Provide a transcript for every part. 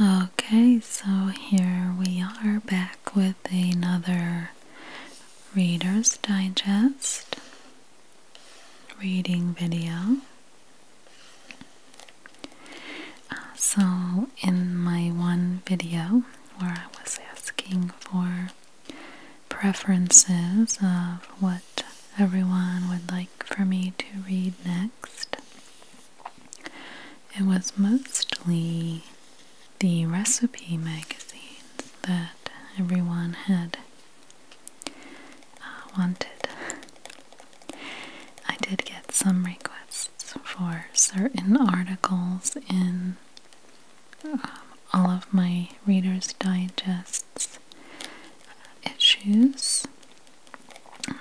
Okay, so here we are back with another Reader's Digest reading video. so, in my one video where I was asking for preferences of what everyone would like for me to read next, it was mostly the recipe magazines that everyone had uh, wanted. I did get some requests for certain articles in um, all of my Reader's digest issues,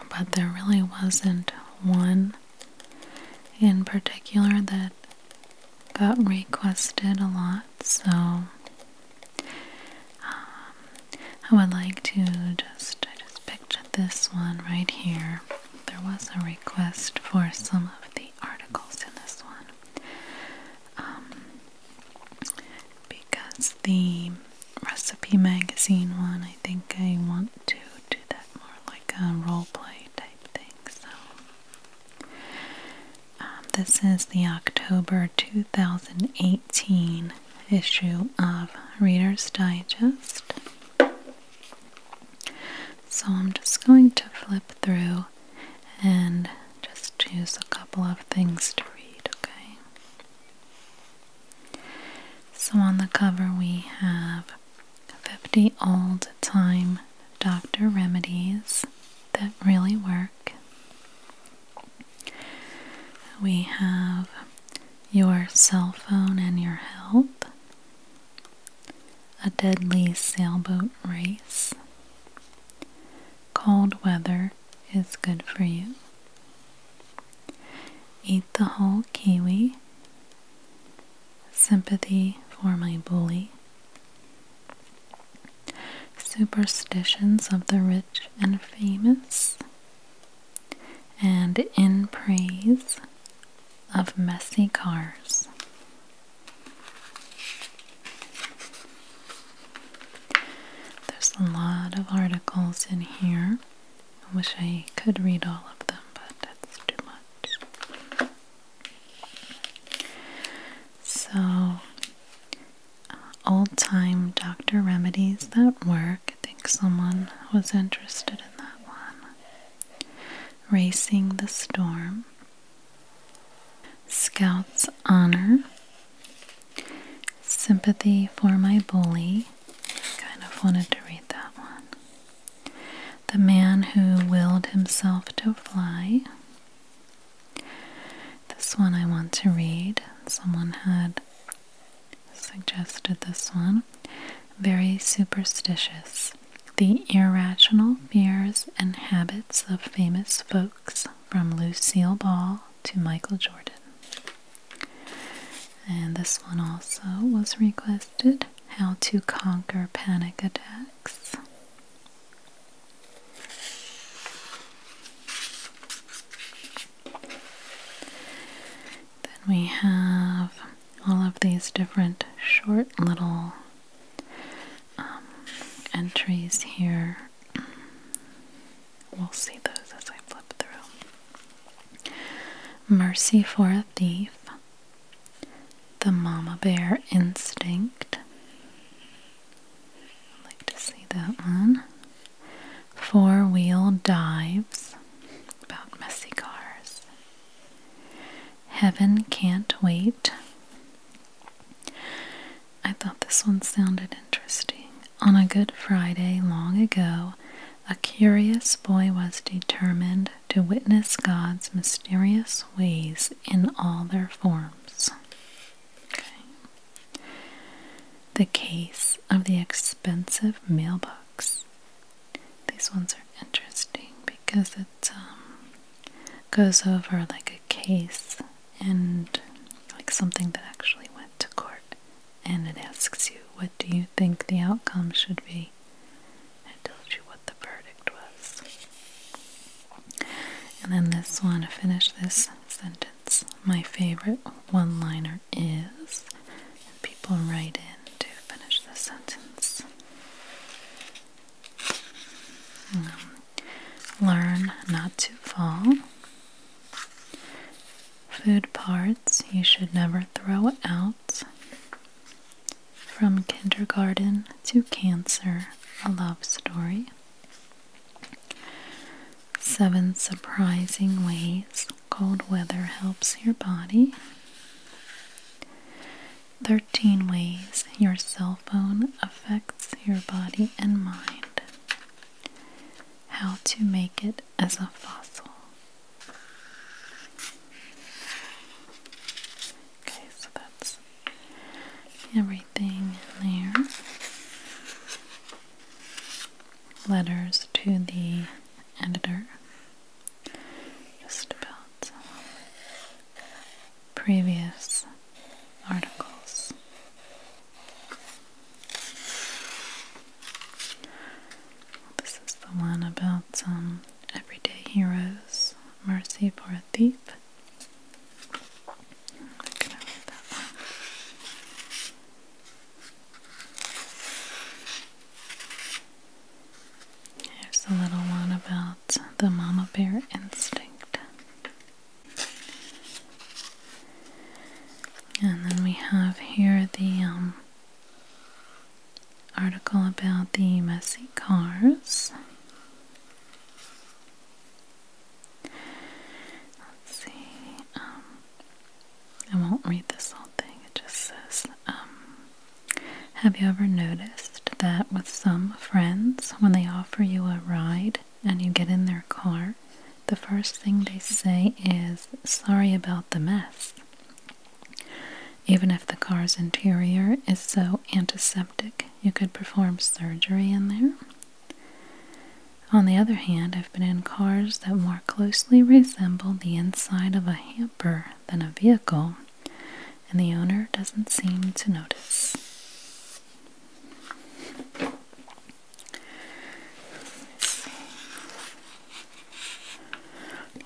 but there really wasn't one in particular that got requested a lot, so um, I would like to just I just picked this one right here. There was a request for some of the articles in this one um, because the recipe magazine one, I think I want to do that more like a role play type thing. So, um, this is the October 2018 issue of Reader's Digest. So, I'm just going to flip through and just choose a couple of things to read, okay? So on the cover, we have 50 old time doctor remedies that really work. We have your cell phone and your help. a deadly sailboat race, cold weather is good for you. Eat the whole kiwi. Sympathy for my bully. Superstitions of the rich and famous. And in praise of messy cars. There's a lot of articles in here. I wish I could read all of them, but that's too much. So, uh, old time doctor remedies that work. I think someone was interested in that one. Racing the Storm, Scout's Honor, Sympathy for My Bully, Kind of wanted to read that one. The Man Who Willed Himself to Fly. This one I want to read. Someone had suggested this one. Very superstitious. The Irrational Fears and Habits of Famous Folks from Lucille Ball to Michael Jordan. And this one also was requested How to Conquer Panic Attacks. Then we have all of these different short little um, entries here We'll see those as I flip through. Mercy for a Thief, The Mama Bear Instinct. I'd like to see that one. Four Wheel Dives, about messy cars. Heaven Can't Wait. I thought this one sounded interesting. On a Good Friday long ago, a curious boy was determined to witness God's mysterious ways in all their forms. The case of the expensive mailbox. These ones are interesting because it um, goes over like a case and like something that actually went to court and it asks you, What do you think the outcome should be? I told you what the verdict was. And then this one, to finish this sentence, my favorite one liner is, people write in to finish the sentence. Hmm. learn not to fall. Food parts you should never throw out. From Kindergarten to Cancer, a Love Story. Seven surprising ways cold weather helps your body. 13 ways your cell phone affects your body and mind. How to make it as a fossil. Okay, so that's everything in there. Letters to the editor. Just about previous articles this is the one about um, everyday heroes. Mercy for a thief. I'm Here's a little one about the mama bear instinct. And then we have here the um, article about the messy cars. Let's see. Um, I won't read this whole thing. It just says, um, "Have you ever noticed that with some friends, when they offer you a ride and you get in their car, the first thing they say is, Sorry about the mess. Even if the car's interior is so antiseptic, you could perform surgery in there. On the other hand, I've been in cars that more closely resemble the inside of a hamper than a vehicle, and the owner doesn't seem to notice.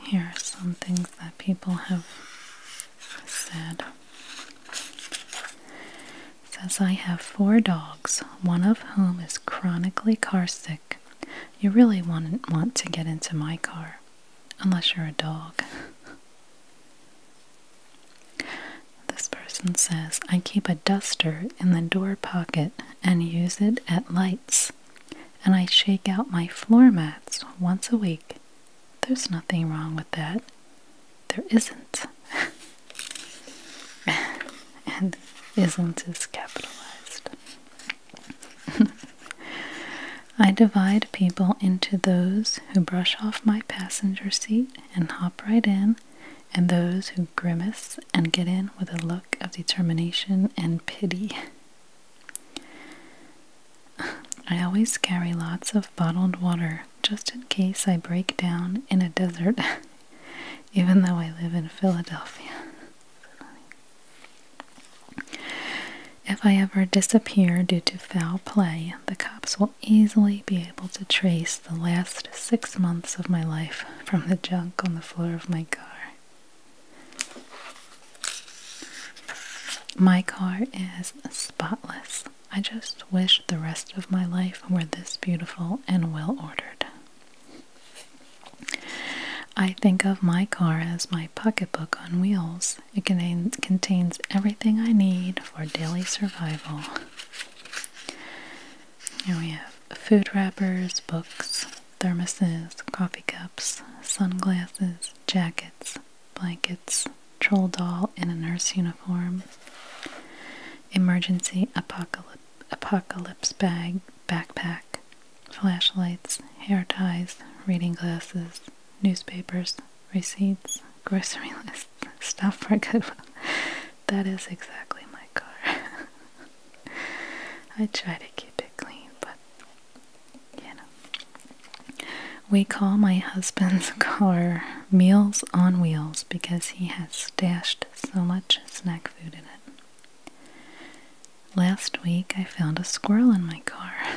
Here are some things that people have said. says I have four dogs, one of whom is chronically car sick. You really would want to get into my car, unless you're a dog. This person says, I keep a duster in the door pocket and use it at lights. And I shake out my floor mats once a week. There's nothing wrong with that. There isn't. and isn't is capitalized. I divide people into those who brush off my passenger seat and hop right in, and those who grimace and get in with a look of determination and pity. I always carry lots of bottled water just in case I break down in a desert, even though I live in Philadelphia. If I ever disappear due to foul play, the cops will easily be able to trace the last six months of my life from the junk on the floor of my car. My car is spotless. I just wish the rest of my life were this beautiful and well ordered. I think of my car as my pocketbook on wheels. It contains everything I need for daily survival. Here we have food wrappers, books, thermoses, coffee cups, sunglasses, jackets, blankets, troll doll in a nurse uniform, emergency apocalypse, apocalypse bag, backpack, flashlights, hair ties, reading glasses, newspapers, receipts, grocery list, stuff for Cuba. That is exactly my car. I try to keep it clean, but you know. We call my husband's car Meals on Wheels because he has stashed so much snack food in it. Last week I found a squirrel in my car.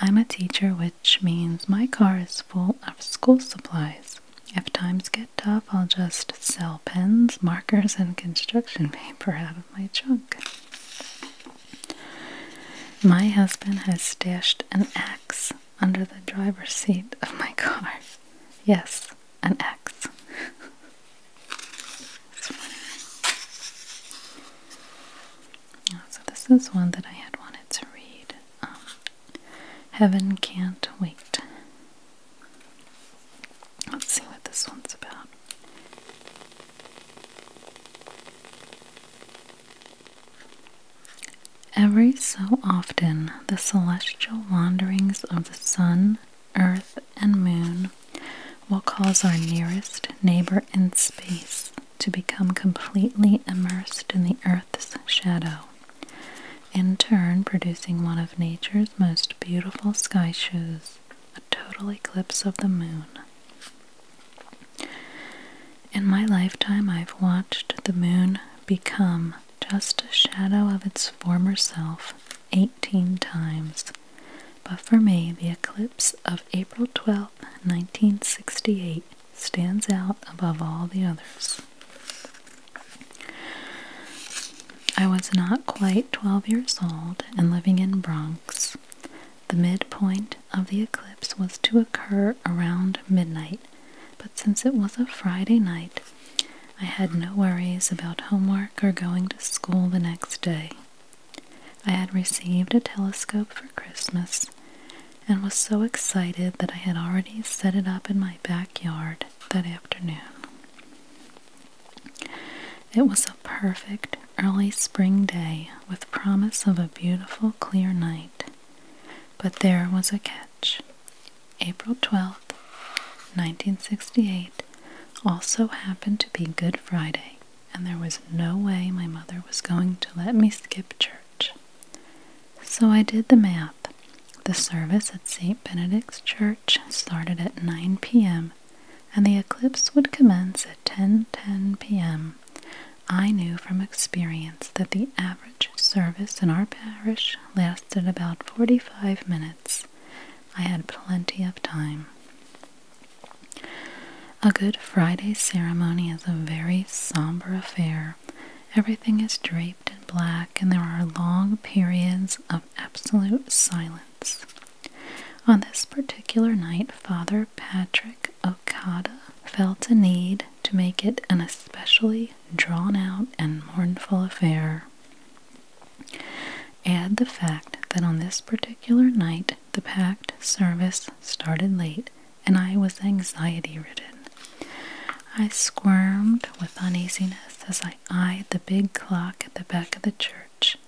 I'm a teacher, which means my car is full of school supplies. If times get tough, I'll just sell pens, markers, and construction paper out of my trunk. My husband has stashed an axe under the driver's seat of my car. Yes, an axe. so, this is one that I had wanted to read. Um, Heaven Can't Wait Let's see what this one's about. Every so often, the celestial wanderings of the sun, earth, and moon will cause our nearest neighbor in space to become completely immersed in the earth's shadow in turn producing one of nature's most beautiful sky shows, a total eclipse of the moon. In my lifetime, I've watched the moon become just a shadow of its former self 18 times. But for me, the eclipse of April 12, 1968 stands out above all the others. I was not quite 12 years old and living in Bronx. The midpoint of the eclipse was to occur around midnight, but since it was a Friday night, I had no worries about homework or going to school the next day. I had received a telescope for Christmas and was so excited that I had already set it up in my backyard that afternoon. It was a perfect early spring day with promise of a beautiful clear night. But there was a catch. April 12th, 1968, also happened to be Good Friday, and there was no way my mother was going to let me skip church. So I did the math the service at St. Benedict's Church started at 9 p.m. and the eclipse would commence at 10:10 p.m. I knew from experience that the average service in our parish lasted about 45 minutes. I had plenty of time. A Good Friday ceremony is a very somber affair. Everything is draped in black, and there are long periods of absolute silence. On this particular night, Father Patrick Okada felt a need to make it an especially drawn out and mournful affair. Add the fact that on this particular night the packed service started late and I was anxiety ridden. I squirmed with uneasiness as I eyed the big clock at the back of the church.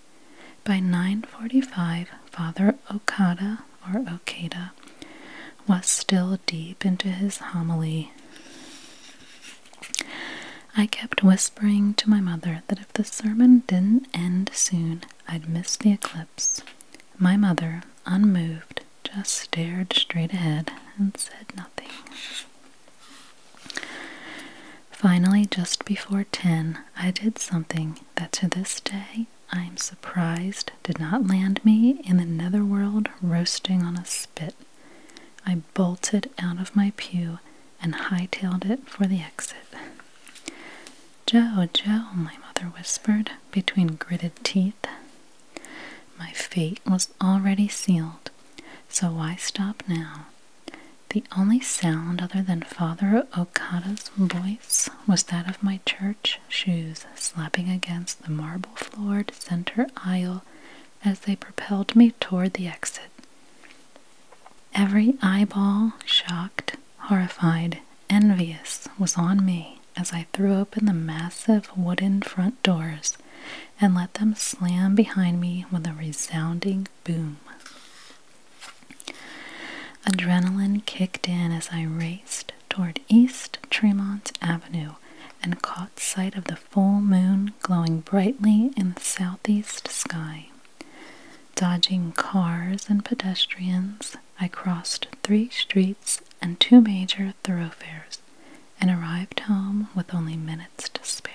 By 9:45, Father Okada or Okada was still deep into his homily. I kept whispering to my mother that if the sermon didn't end soon, I'd miss the eclipse. My mother, unmoved, just stared straight ahead and said nothing. Finally, just before 10, I did something that to this day I am surprised did not land me in the netherworld roasting on a spit. I bolted out of my pew and hightailed it for the exit. Joe, Joe, my mother whispered between gritted teeth. My fate was already sealed so why stop now? The only sound other than Father Okada's voice was that of my church shoes slapping against the marble floored center aisle as they propelled me toward the exit. Every eyeball, shocked, horrified, envious, was on me as I threw open the massive wooden front doors and let them slam behind me with a resounding boom. Adrenaline kicked in as I raced toward East Tremont Avenue and caught sight of the full moon glowing brightly in the southeast sky. Dodging cars and pedestrians, I crossed three streets and two major thoroughfares and arrived home with only minutes to spare.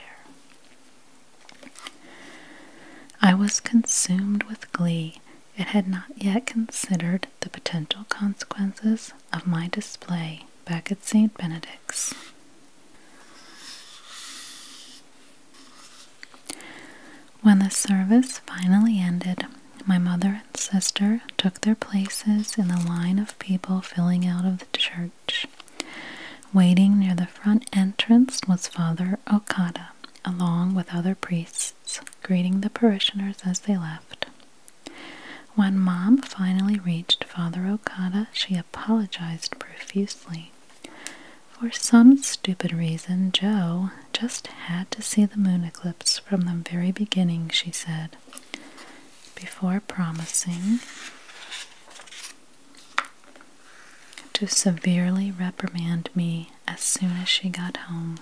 I was consumed with glee and had not yet considered the potential consequences of my display back at St. Benedict's. When the service finally ended, my mother and sister took their places in the line of people filling out of the church Waiting near the front entrance was Father Okada, along with other priests, greeting the parishioners as they left. When Mom finally reached Father Okada, she apologized profusely. For some stupid reason, Joe just had to see the moon eclipse from the very beginning, she said before promising to severely reprimand me as soon as she got home.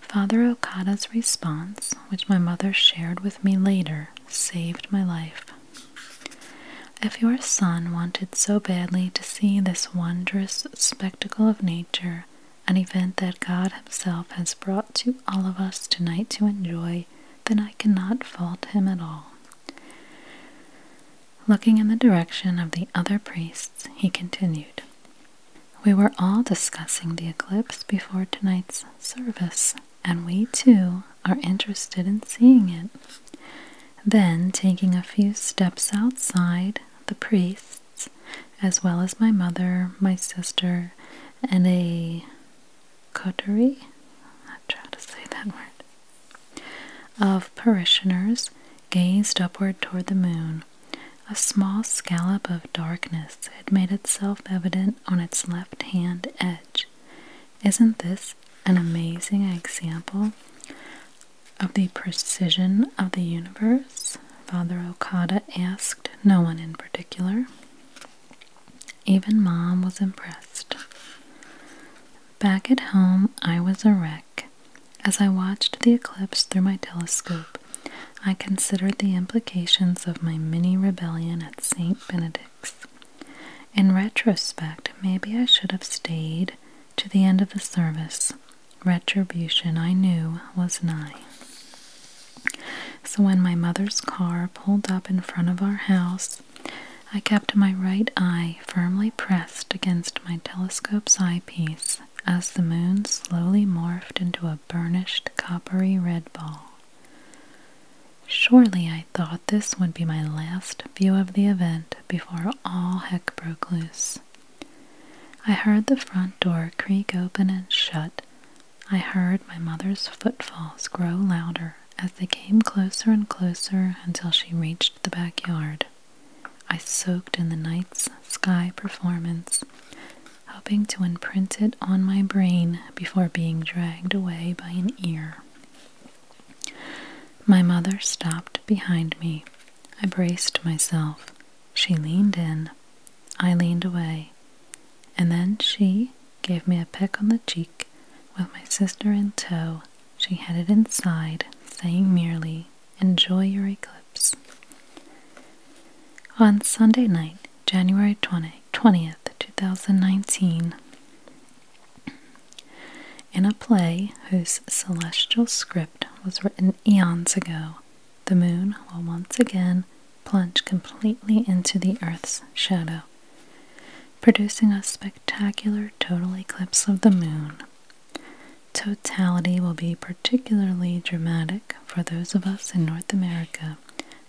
Father Okada's response, which my mother shared with me later, saved my life. If your son wanted so badly to see this wondrous spectacle of nature, an event that God Himself has brought to all of us tonight to enjoy, then I cannot fault him at all. Looking in the direction of the other priests, he continued, We were all discussing the eclipse before tonight's service, and we too are interested in seeing it. Then, taking a few steps outside, the priests, as well as my mother, my sister, and a coterie, I try to say that word, of parishioners gazed upward toward the moon. A small scallop of darkness had made itself evident on its left hand edge. Isn't this an amazing example of the precision of the universe? Father Okada asked no one in particular. Even Mom was impressed. Back at home, I was a wreck. As I watched the eclipse through my telescope, I considered the implications of my mini rebellion at St. Benedict's. In retrospect, maybe I should have stayed to the end of the service. Retribution, I knew, was nigh. So when my mother's car pulled up in front of our house, I kept my right eye firmly pressed against my telescope's eyepiece as the moon slowly morphed into a burnished coppery red ball. Surely I thought this would be my last view of the event before all heck broke loose. I heard the front door creak open and shut I heard my mother's footfalls grow louder as they came closer and closer until she reached the backyard. I soaked in the night's sky performance, hoping to imprint it on my brain before being dragged away by an ear. My mother stopped behind me. I braced myself. She leaned in. I leaned away. And then she gave me a peck on the cheek. With my sister in tow, she headed inside, saying merely, Enjoy your eclipse. On Sunday night, January twenty twentieth, 2019, in a play whose celestial script was written eons ago, the moon will once again plunge completely into the Earth's shadow, producing a spectacular total eclipse of the moon. Totality will be particularly dramatic for those of us in North America,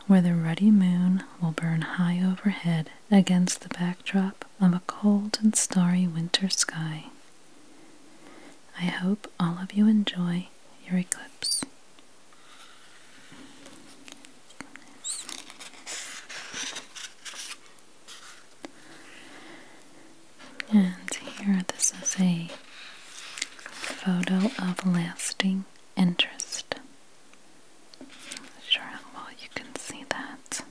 where the ruddy moon will burn high overhead against the backdrop of a cold and starry winter sky. I hope all of you enjoy your eclipse. And here, this is a photo of lasting interest. Not sure how well you can see that.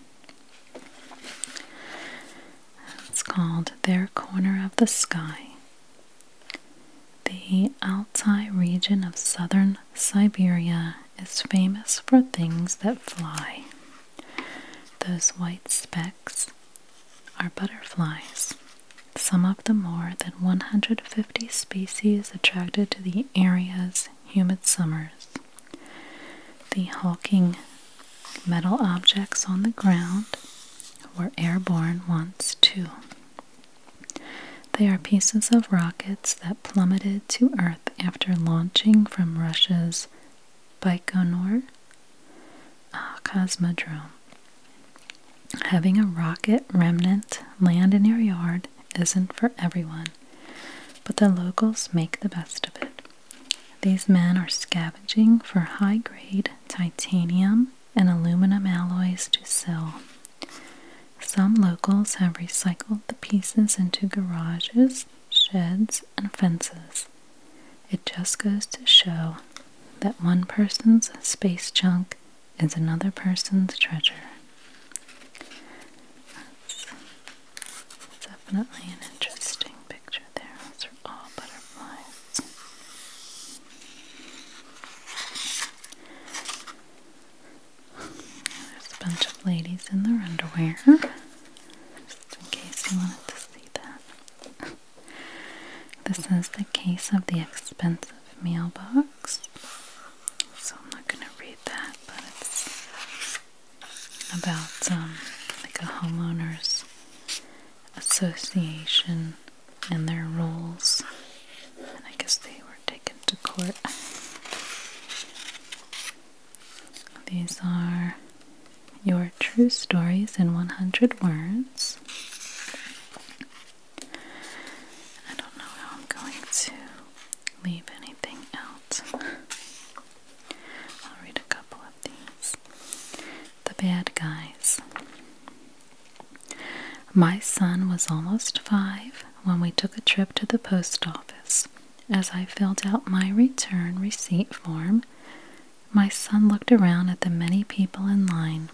It's called Their Corner of the Sky. The Altai region of southern Siberia is famous for things that fly. Those white specks are butterflies, some of the more than 150 species attracted to the area's humid summers. The hulking metal objects on the ground were airborne once, too. They are pieces of rockets that plummeted to Earth after launching from Russia's Baikonur uh, Cosmodrome. Having a rocket remnant land in your yard isn't for everyone, but the locals make the best of it. These men are scavenging for high grade titanium and aluminum alloys to sell. Some locals have recycled the pieces into garages, sheds, and fences. It just goes to show that one person's space junk is another person's treasure. That's definitely an interesting picture there. Those are all butterflies. There's a bunch of ladies in their underwear, just in case you wanted to see that. this is the case of the expensive meal box. So I'm not going to read that, but it's about um, like a homeowners association and their rules. And I guess they were taking back court. These are your true stories in 100 words. I don't know how I'm going to leave anything out. I'll read a couple of these. The Bad Guys. My son was almost five when we took a trip to the post office. As I filled out my return receipt form, my son looked around at the many people in line.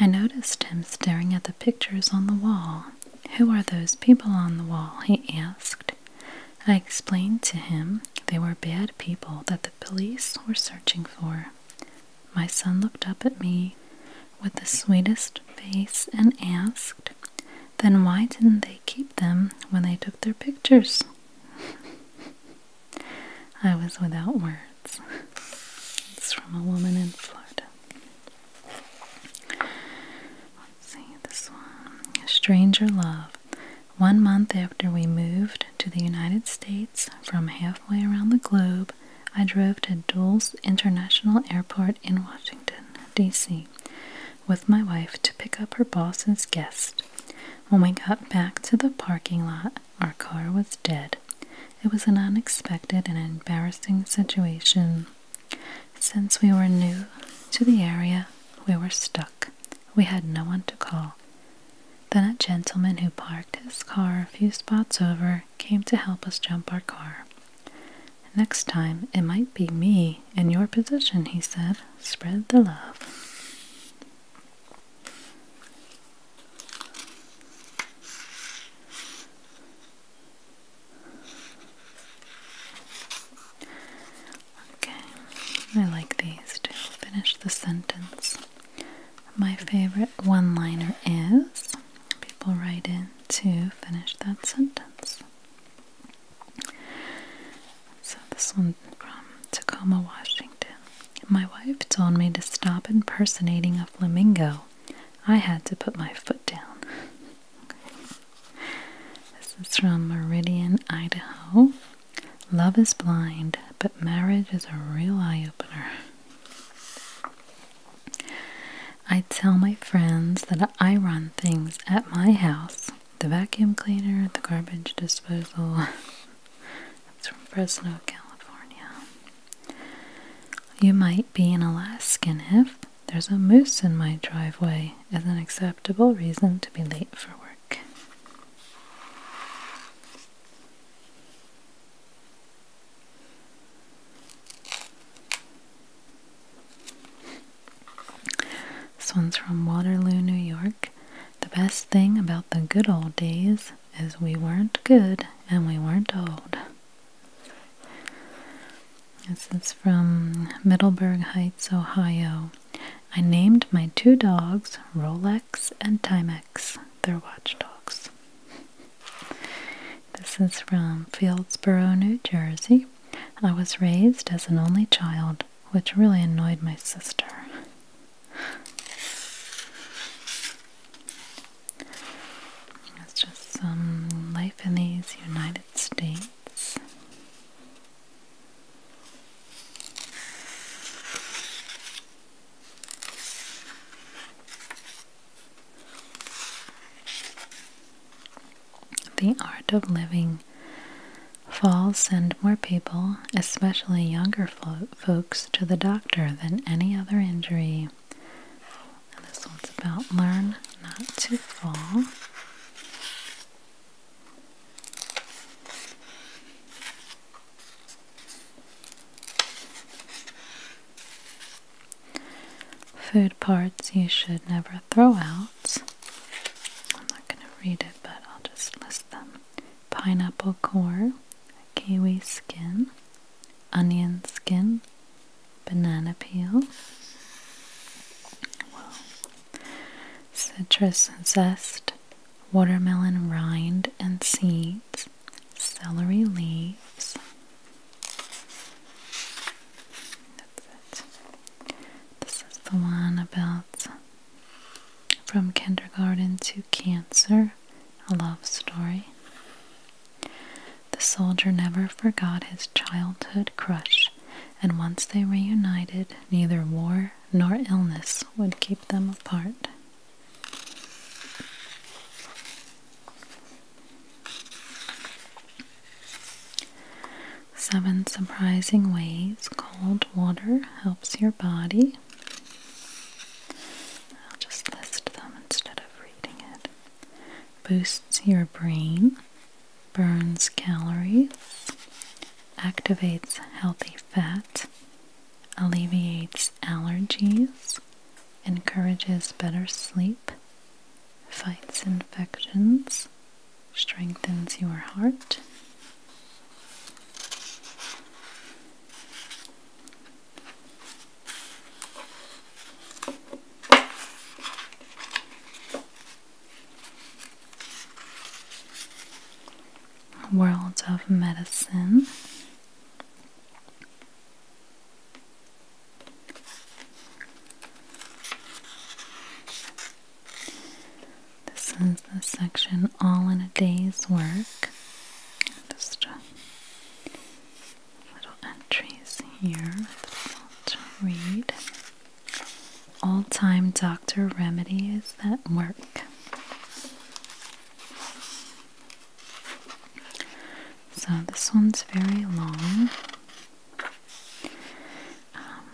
I noticed him staring at the pictures on the wall. Who are those people on the wall? he asked. I explained to him they were bad people that the police were searching for. My son looked up at me with the sweetest face and asked, Then why didn't they keep them when they took their pictures? I was without words. It's from a woman in Florida. Let's see this one. Stranger Love. One month after we moved to the United States from halfway around the globe, I drove to Dulles International Airport in Washington, D.C., with my wife to pick up her boss's guest. When we got back to the parking lot, our car was dead. It was an unexpected and embarrassing situation. Since we were new to the area, we were stuck. We had no one to call. Then a gentleman who parked his car a few spots over came to help us jump our car. Next time it might be me in your position, he said. Spread the love. Okay, I like these to finish the sentence. My favorite one liner is people write in to finish that sentence. So, this one from Tacoma, Washington. My wife told me to stop impersonating a flamingo. I had to put my foot down. This is from Meridian, Idaho. Love is blind, but marriage is a real eye opener. I tell my friends that I run things at my house the vacuum cleaner, the garbage disposal. It's from Fresno, California. You might be an Alaskan if there's a moose in my driveway is an acceptable reason to be late for work. This one's from Waterloo, New York. The best thing about the good old days is we weren't good and we weren't old. This is from Middleburg Heights, Ohio. I named my two dogs Rolex and Timex. They're watch dogs. This is from Fieldsboro, New Jersey. I was raised as an only child, which really annoyed my sister. It's just some life in these United States. The Art of Living Falls send more people, especially younger folks, to the doctor than any other injury. this one's about learn not to fall. Food parts you should never throw out. I'm not going to read it, but I'll just list them pineapple core, kiwi skin, onion skin, banana peel, citrus zest, watermelon rind and seeds, celery leaves, this is the one about From Kindergarten to Cancer, a love story. The soldier never forgot his childhood crush, and once they reunited, neither war nor illness would keep them apart. Seven surprising ways cold water helps your body. I'll just list them instead of reading it. Boosts your brain, burns calories, activates healthy fat, alleviates allergies, encourages better sleep, fights infections, strengthens your heart. World of Medicine this is the section All in a Day's Work. Just uh, little entries here to read. All time doctor remedies that work. So this one's very long. Um,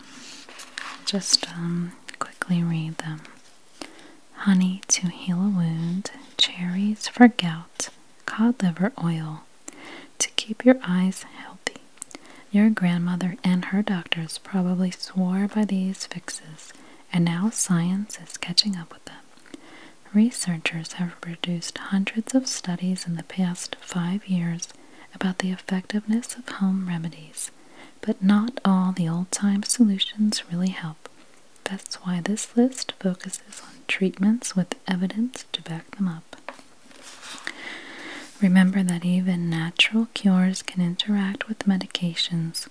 just um, quickly read them. Honey to heal a wound, cherries for gout, cod liver oil to keep your eyes healthy. Your grandmother and her doctors probably swore by these fixes, and now science is catching up with them. Researchers have produced hundreds of studies in the past five years about the effectiveness of home remedies, but not all the old time solutions really help. That's why this list focuses on treatments with evidence to back them up. Remember that even natural cures can interact with medications.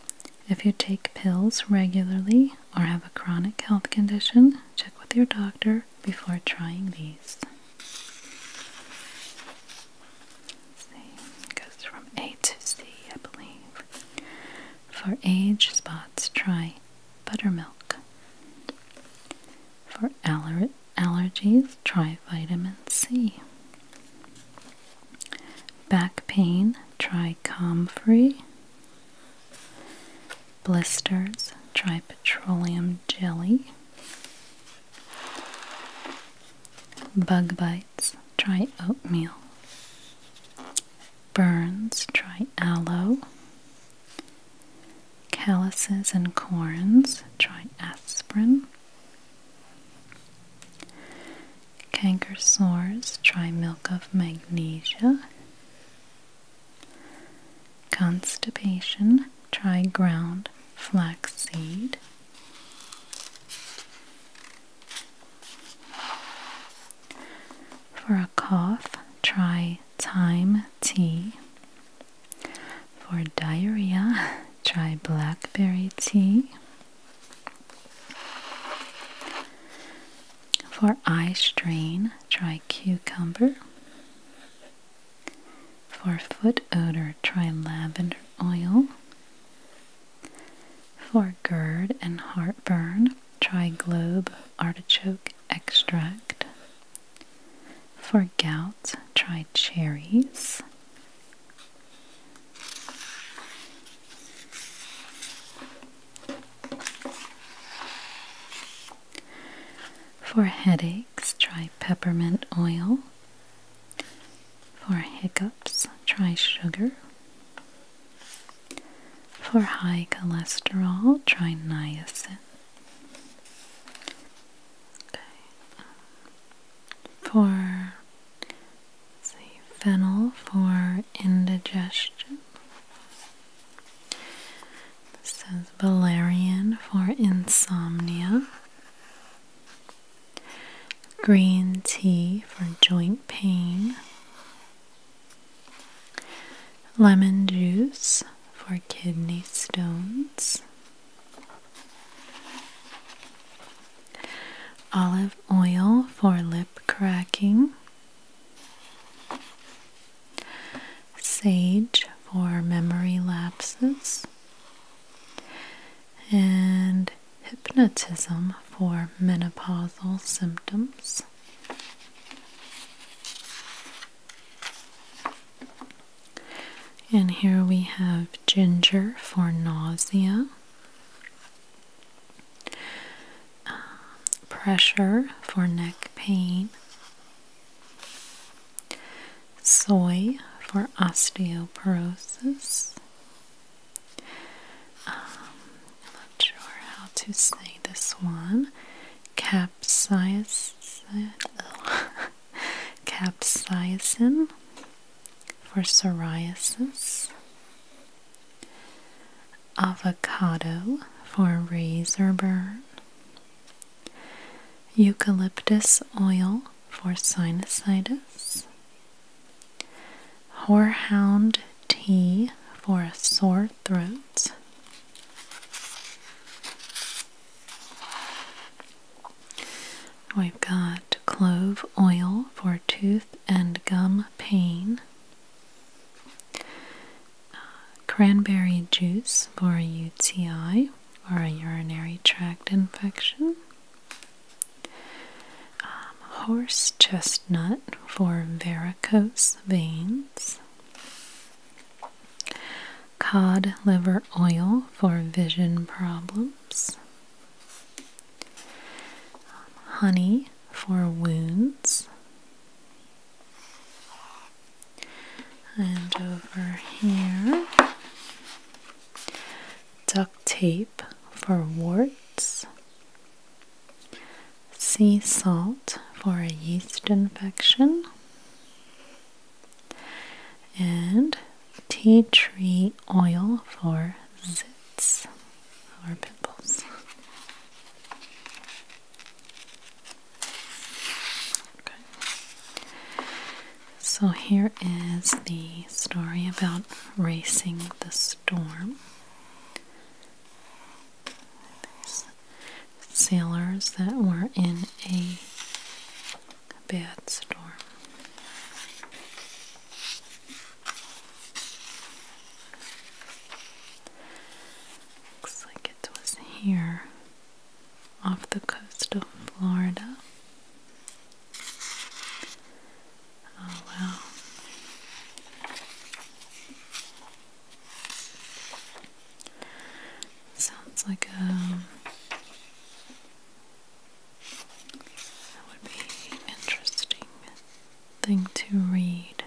If you take pills regularly or have a chronic health condition, check with your doctor before trying these. it goes from A to C, I believe. For age spots, try buttermilk. For allergies, try vitamin C. Back pain, try Comfrey blisters, try petroleum jelly, bug bites, try oatmeal, burns, try aloe, calluses and corns, try aspirin, canker sores, try milk of magnesia, Constipation, try ground flaxseed. For a cough, try thyme tea. For diarrhea, try blackberry tea. For eye strain, try cucumber. For foot odor, try lavender oil. For GERD and heartburn, try globe artichoke extract. For gout, try cherries. For headaches, try peppermint oil. For hiccups, try sugar. For high cholesterol, try niacin. Okay. Um, for see, fennel for indigestion. This says valerian for insomnia, green tea for joint pain, lemon juice for kidney stones. Olive oil for lip cracking, sage for memory lapses, and hypnotism for menopausal symptoms. And here we have ginger for nausea, pressure for neck pain, soy for osteoporosis. I'm um, not sure how to say this one. capsaicin for psoriasis avocado for razor burn, eucalyptus oil for sinusitis, horehound tea for sore throat. We've got clove oil for tooth and gum pain, cranberry juice for a UTI or a urinary tract infection, um, horse chestnut for varicose veins, cod liver oil for vision problems, um, honey for wounds and over here duct tape for warts sea salt for a yeast infection and tea tree oil for zits or pimples so here is the story about racing the storm. sailors that were in a bad storm. Looks like it was here off the coast of Florida. Oh wow. Sounds like a um, that would be interesting thing to read.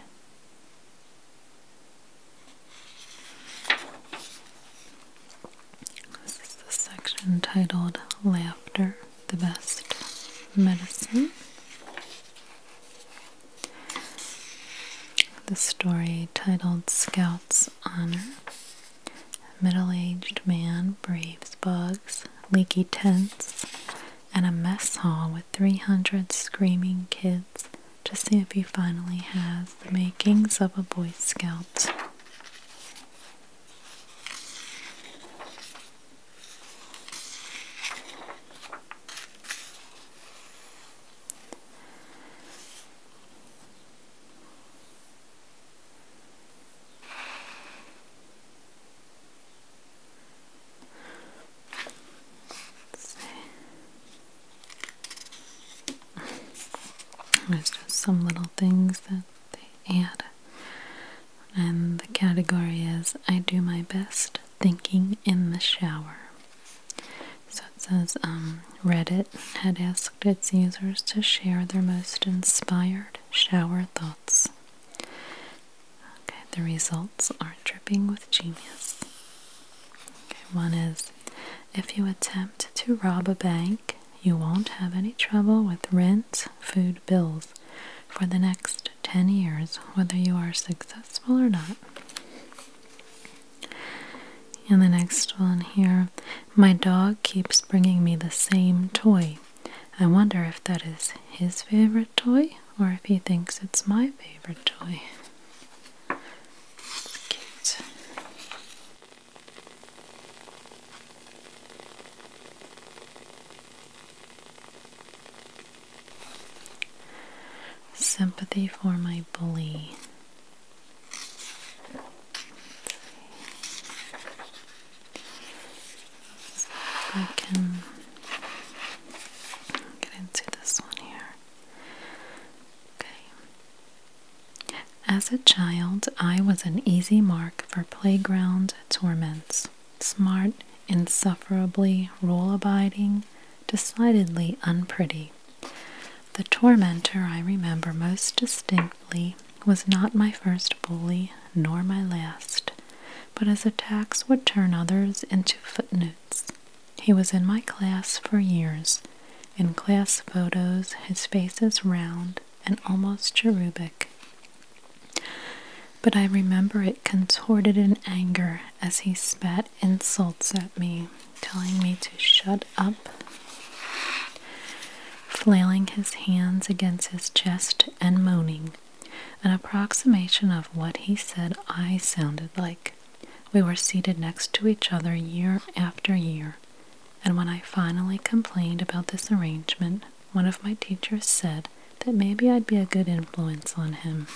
This is the section titled Laughter, the Best Medicine. The story titled Scout's Honor. Middle aged man braves bugs, leaky tents, and a mess hall with 300 screaming kids to see if he finally has the makings of a Boy Scout. There's just some little things that they add. And the category is I do my best thinking in the shower. So it says um, Reddit had asked its users to share their most inspired shower thoughts. Okay, the results are dripping with genius one is if you attempt to rob a bank, you won't have any trouble with rent, food bills for the next 10 years, whether you are successful or not. And the next one here My dog keeps bringing me the same toy. I wonder if that is his favorite toy or if he thinks it's my favorite toy. Sympathy for my bully. I can get into this one here. As a child, I was an easy mark for playground torments. Smart, insufferably rule abiding, decidedly unpretty. The tormentor I remember most distinctly was not my first bully nor my last, but his attacks would turn others into footnotes. He was in my class for years. In class photos, his face is round and almost cherubic. But I remember it contorted in anger as he spat insults at me, telling me to shut up. Flailing his hands against his chest and moaning, an approximation of what he said I sounded like. We were seated next to each other year after year, and when I finally complained about this arrangement, one of my teachers said that maybe I'd be a good influence on him.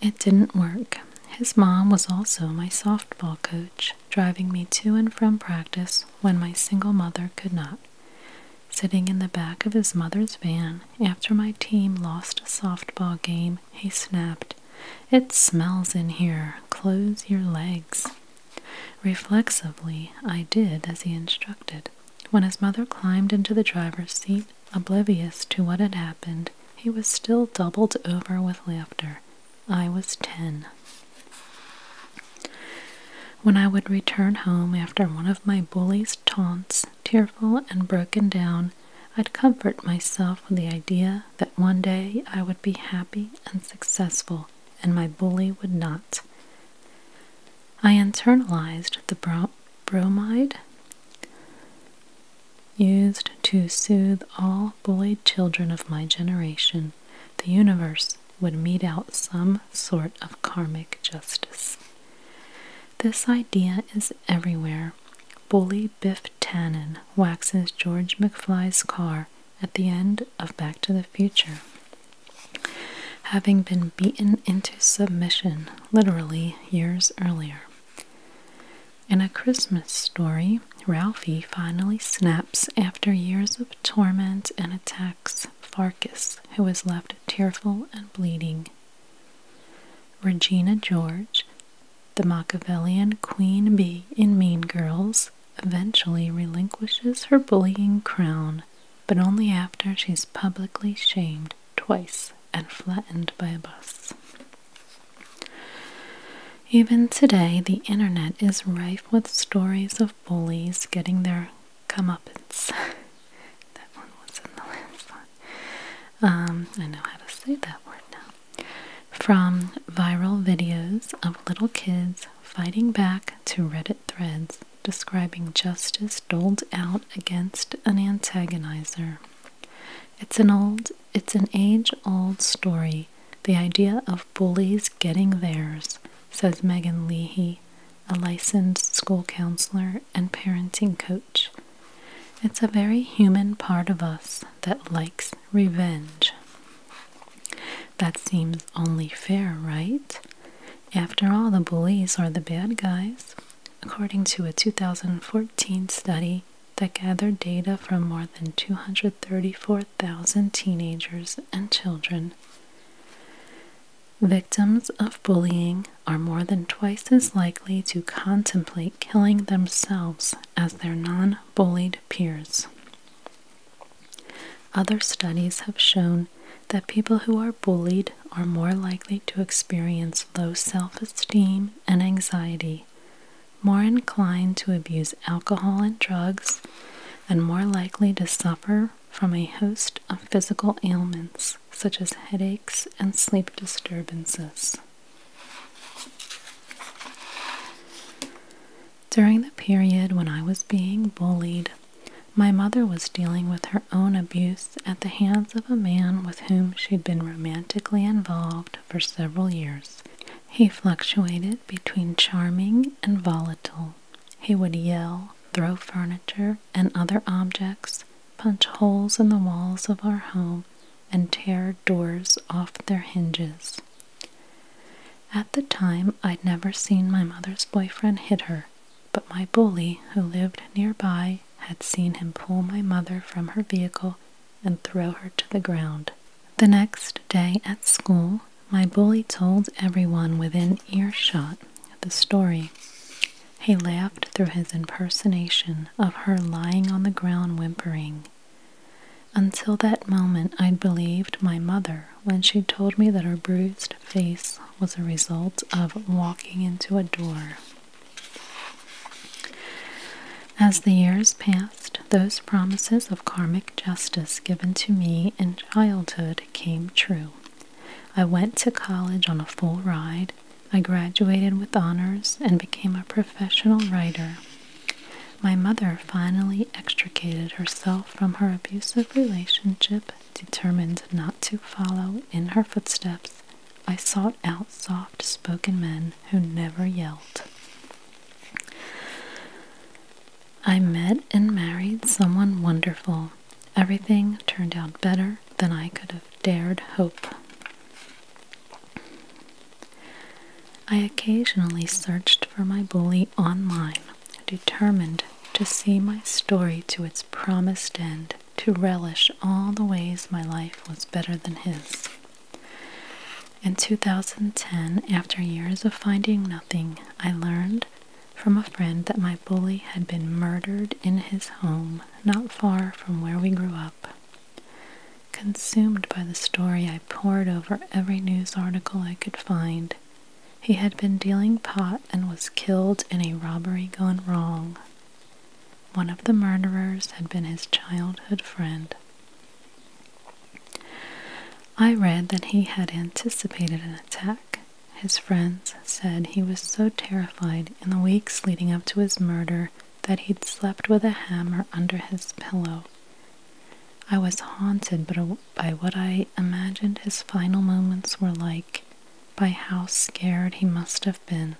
It didn't work. His mom was also my softball coach, driving me to and from practice when my single mother could not. Sitting in the back of his mother's van after my team lost a softball game he snapped. It smells in here. Close your legs. Reflexively, I did as he instructed. When his mother climbed into the driver's seat, oblivious to what had happened, he was still doubled over with laughter. I was ten. When I would return home after one of my bully's taunts, tearful and broken down, I'd comfort myself with the idea that one day I would be happy and successful and my bully would not. I internalized the bromide used to soothe all bullied children of my generation. The universe would mete out some sort of karmic justice. This idea is everywhere. Bully Biff Tannen waxes George McFly's car at the end of Back to the Future. Having been beaten into submission literally years earlier. In a Christmas story, Ralphie finally snaps after years of torment and attacks Farkas, who is left tearful and bleeding Regina George, the Machiavellian queen bee in Mean Girls, eventually relinquishes her bullying crown, but only after she's publicly shamed twice and flattened by a bus. Even today, the internet is rife with stories of bullies getting their comeuppance. that one was in the last um, I know how to say that word now, from viral videos of little kids fighting back to Reddit threads describing justice doled out against an antagonizer. It's an old, it's an age-old story. The idea of bullies getting theirs, says Megan Leahy, a licensed school counselor and parenting coach it's a very human part of us that likes revenge. That seems only fair, right? After all, the bullies are the bad guys. According to a 2014 study that gathered data from more than 234,000 teenagers and children, victims of bullying are more than twice as likely to contemplate killing themselves as their non bullied peers. Other studies have shown that people who are bullied are more likely to experience low self esteem and anxiety, more inclined to abuse alcohol and drugs, and more likely to suffer from a host of physical ailments such as headaches and sleep disturbances. During the period when I was being bullied, my mother was dealing with her own abuse at the hands of a man with whom she'd been romantically involved for several years. He fluctuated between charming and volatile. He would yell, throw furniture and other objects, punch holes in the walls of our home, and tear doors off their hinges. At the time, I'd never seen my mother's boyfriend hit her, but my bully, who lived nearby, had seen him pull my mother from her vehicle and throw her to the ground. The next day at school, my bully told everyone within earshot the story. He laughed through his impersonation of her lying on the ground whimpering. Until that moment, I'd believed my mother when she told me that her bruised face was a result of walking into a door. As the years passed, those promises of karmic justice given to me in childhood came true. I went to college on a full ride I graduated with honors and became a professional writer. My mother finally extricated herself from her abusive relationship, determined not to follow in her footsteps. I sought out soft spoken men who never yelled. I met and married someone wonderful. Everything turned out better than I could have dared hope. I occasionally searched for my bully online, determined to see my story to its promised end, to relish all the ways my life was better than his. In 2010, after years of finding nothing, I learned from a friend that my bully had been murdered in his home, not far from where we grew up. Consumed by the story, I pored over every news article I could find. He had been dealing pot and was killed in a robbery gone wrong. One of the murderers had been his childhood friend. I read that he had anticipated an attack. His friends said he was so terrified in the weeks leading up to his murder that he'd slept with a hammer under his pillow. I was haunted by what I imagined his final moments were like, by how scared he must have been.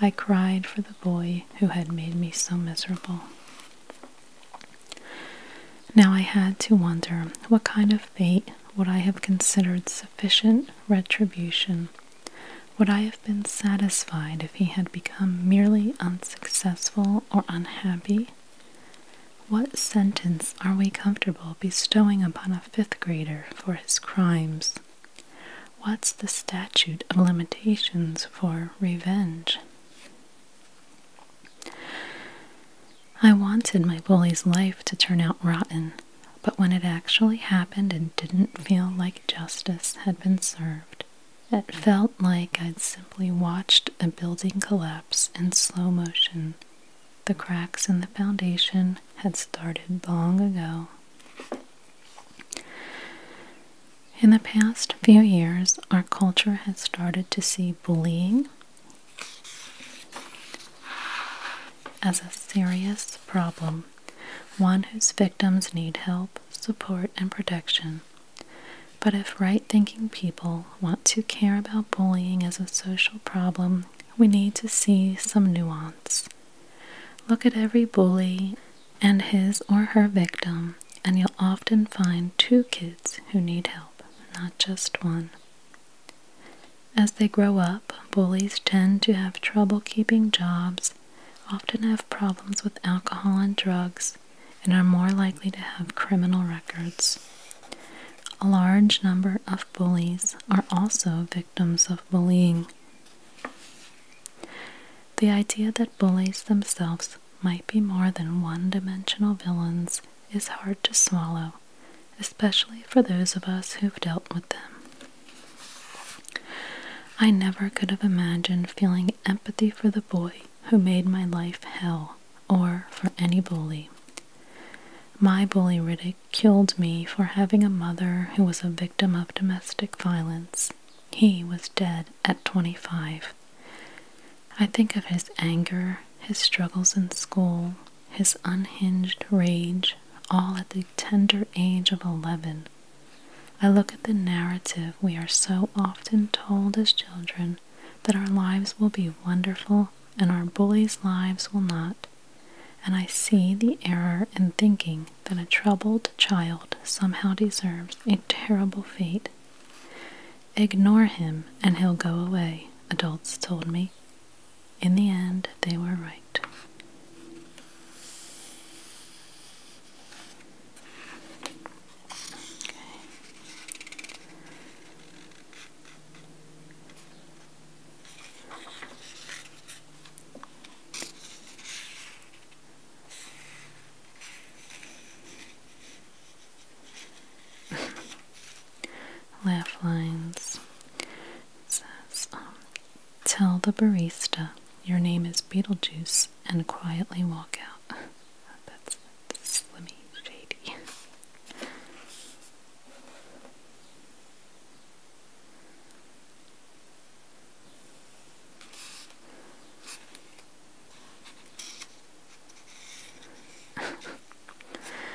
I cried for the boy who had made me so miserable. Now I had to wonder what kind of fate would I have considered sufficient retribution would I have been satisfied if he had become merely unsuccessful or unhappy? What sentence are we comfortable bestowing upon a fifth grader for his crimes? What's the statute of limitations for revenge? I wanted my bully's life to turn out rotten. But when it actually happened, it didn't feel like justice had been served. It felt like I'd simply watched a building collapse in slow motion. The cracks in the foundation had started long ago. In the past few years, our culture has started to see bullying as a serious problem one whose victims need help, support, and protection. But if right thinking people want to care about bullying as a social problem, we need to see some nuance. Look at every bully and his or her victim, and you'll often find two kids who need help, not just one. As they grow up, bullies tend to have trouble keeping jobs often have problems with alcohol and drugs and are more likely to have criminal records. A large number of bullies are also victims of bullying. The idea that bullies themselves might be more than one dimensional villains is hard to swallow, especially for those of us who've dealt with them. I never could have imagined feeling empathy for the boy who made my life hell or for any bully. My bully ridiculed me for having a mother who was a victim of domestic violence. He was dead at 25. I think of his anger, his struggles in school, his unhinged rage, all at the tender age of 11. I look at the narrative we are so often told as children that our lives will be wonderful and our bullies' lives will not, and I see the error in thinking that a troubled child somehow deserves a terrible fate. Ignore him and he'll go away, adults told me. In the end, they were right right. Okay. Laugh lines. It says, um, Tell the barista your name is Beetlejuice and quietly walk out. That's slimy, shady.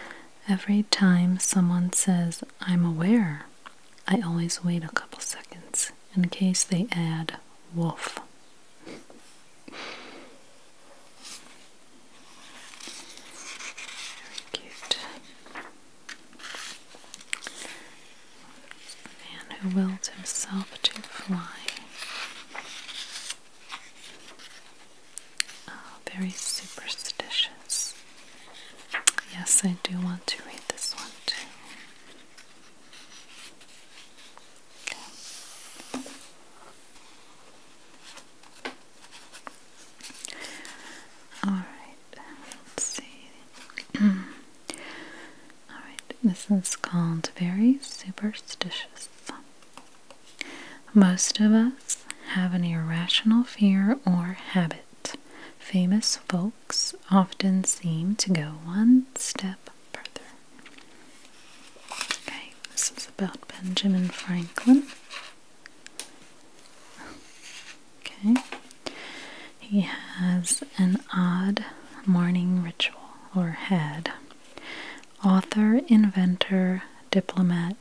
Every time someone says, I'm aware, I always wait a couple seconds in case they add wolf. Very cute. Man who willed himself to fly. Oh, very superstitious. Yes, I do want to read this one too. All right, let's see. All right, this is called very superstitious. Most of us have an irrational fear or habit. Famous folk often seem to go one step further. Okay, this is about Benjamin Franklin. Okay, he has an odd morning ritual, or had. Author, inventor, diplomat,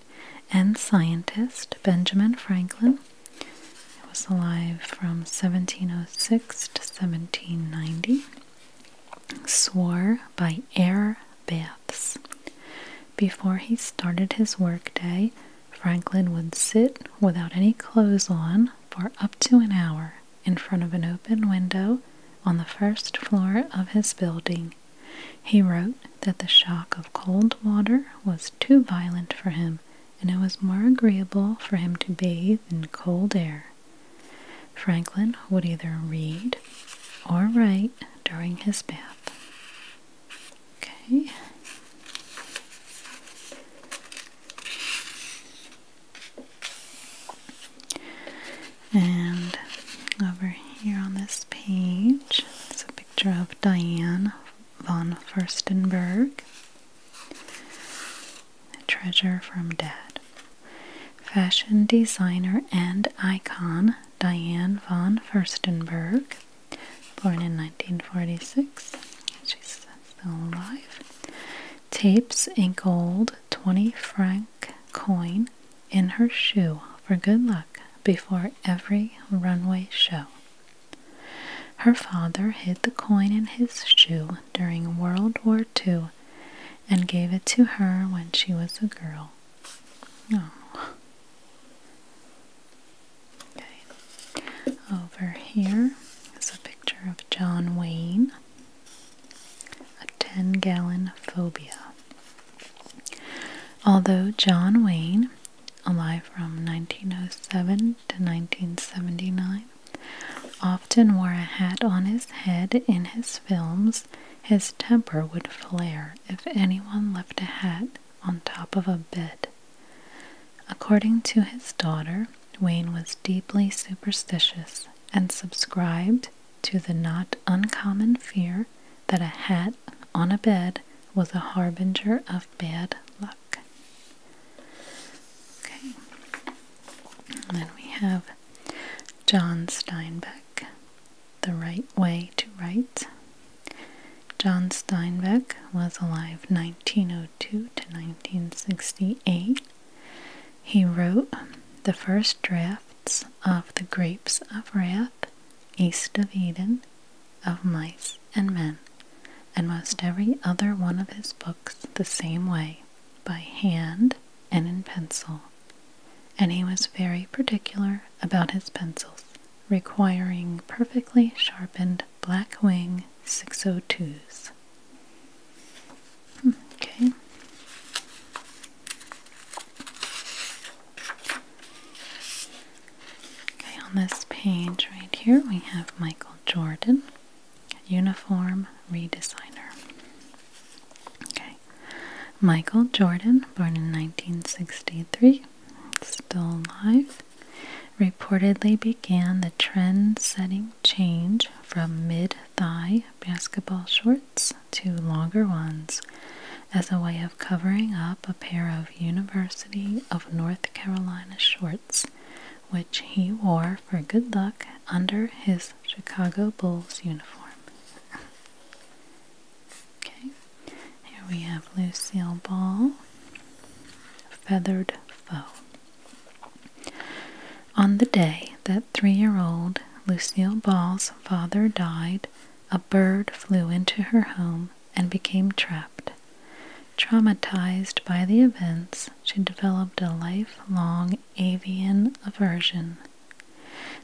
and scientist Benjamin Franklin he was alive from 1706 to 1790. Swore by air baths. Before he started his workday, Franklin would sit without any clothes on for up to an hour in front of an open window on the first floor of his building. He wrote that the shock of cold water was too violent for him and it was more agreeable for him to bathe in cold air. Franklin would either read or write during his bath. Okay. And over here on this page, it's a picture of Diane von Furstenberg, Treasure from Dad, fashion designer and icon Diane von Furstenberg, born in 1946. She's still alive. Tapes a gold 20 franc coin in her shoe for good luck before every runway show. Her father hid the coin in his shoe during World War II and gave it to her when she was a girl. Oh. Okay. Over here is a picture of John Wayne, a 10 gallon phobia. Although John Wayne, alive from 1907 to 1979, often wore a hat on his head in his films, his temper would flare if anyone left a hat on top of a bed. According to his daughter, Wayne was deeply superstitious and subscribed to the not uncommon fear that a hat on a bed was a harbinger of bad luck. Okay. And then we have John Steinbeck, The Right Way to Write. John Steinbeck was alive 1902 to 1968. He wrote the first drafts of The Grapes of Wrath, East of Eden, of Mice and men, and most every other one of his books the same way, by hand and in pencil. And he was very particular about his pencils, requiring perfectly sharpened black wing 602s. Hmm, okay. Okay, on this page right here we have Michael Jordan. Uniform redesigner. Okay. Michael Jordan, born in 1963, still alive, reportedly began the trend setting change from mid thigh basketball shorts to longer ones as a way of covering up a pair of University of North Carolina shorts which he wore for good luck under his Chicago Bulls uniform. okay, here we have Lucille Ball, Feathered Foe. On the day that three year old Lucille Ball's father died, a bird flew into her home and became trapped. Traumatized by the events, she developed a lifelong avian aversion.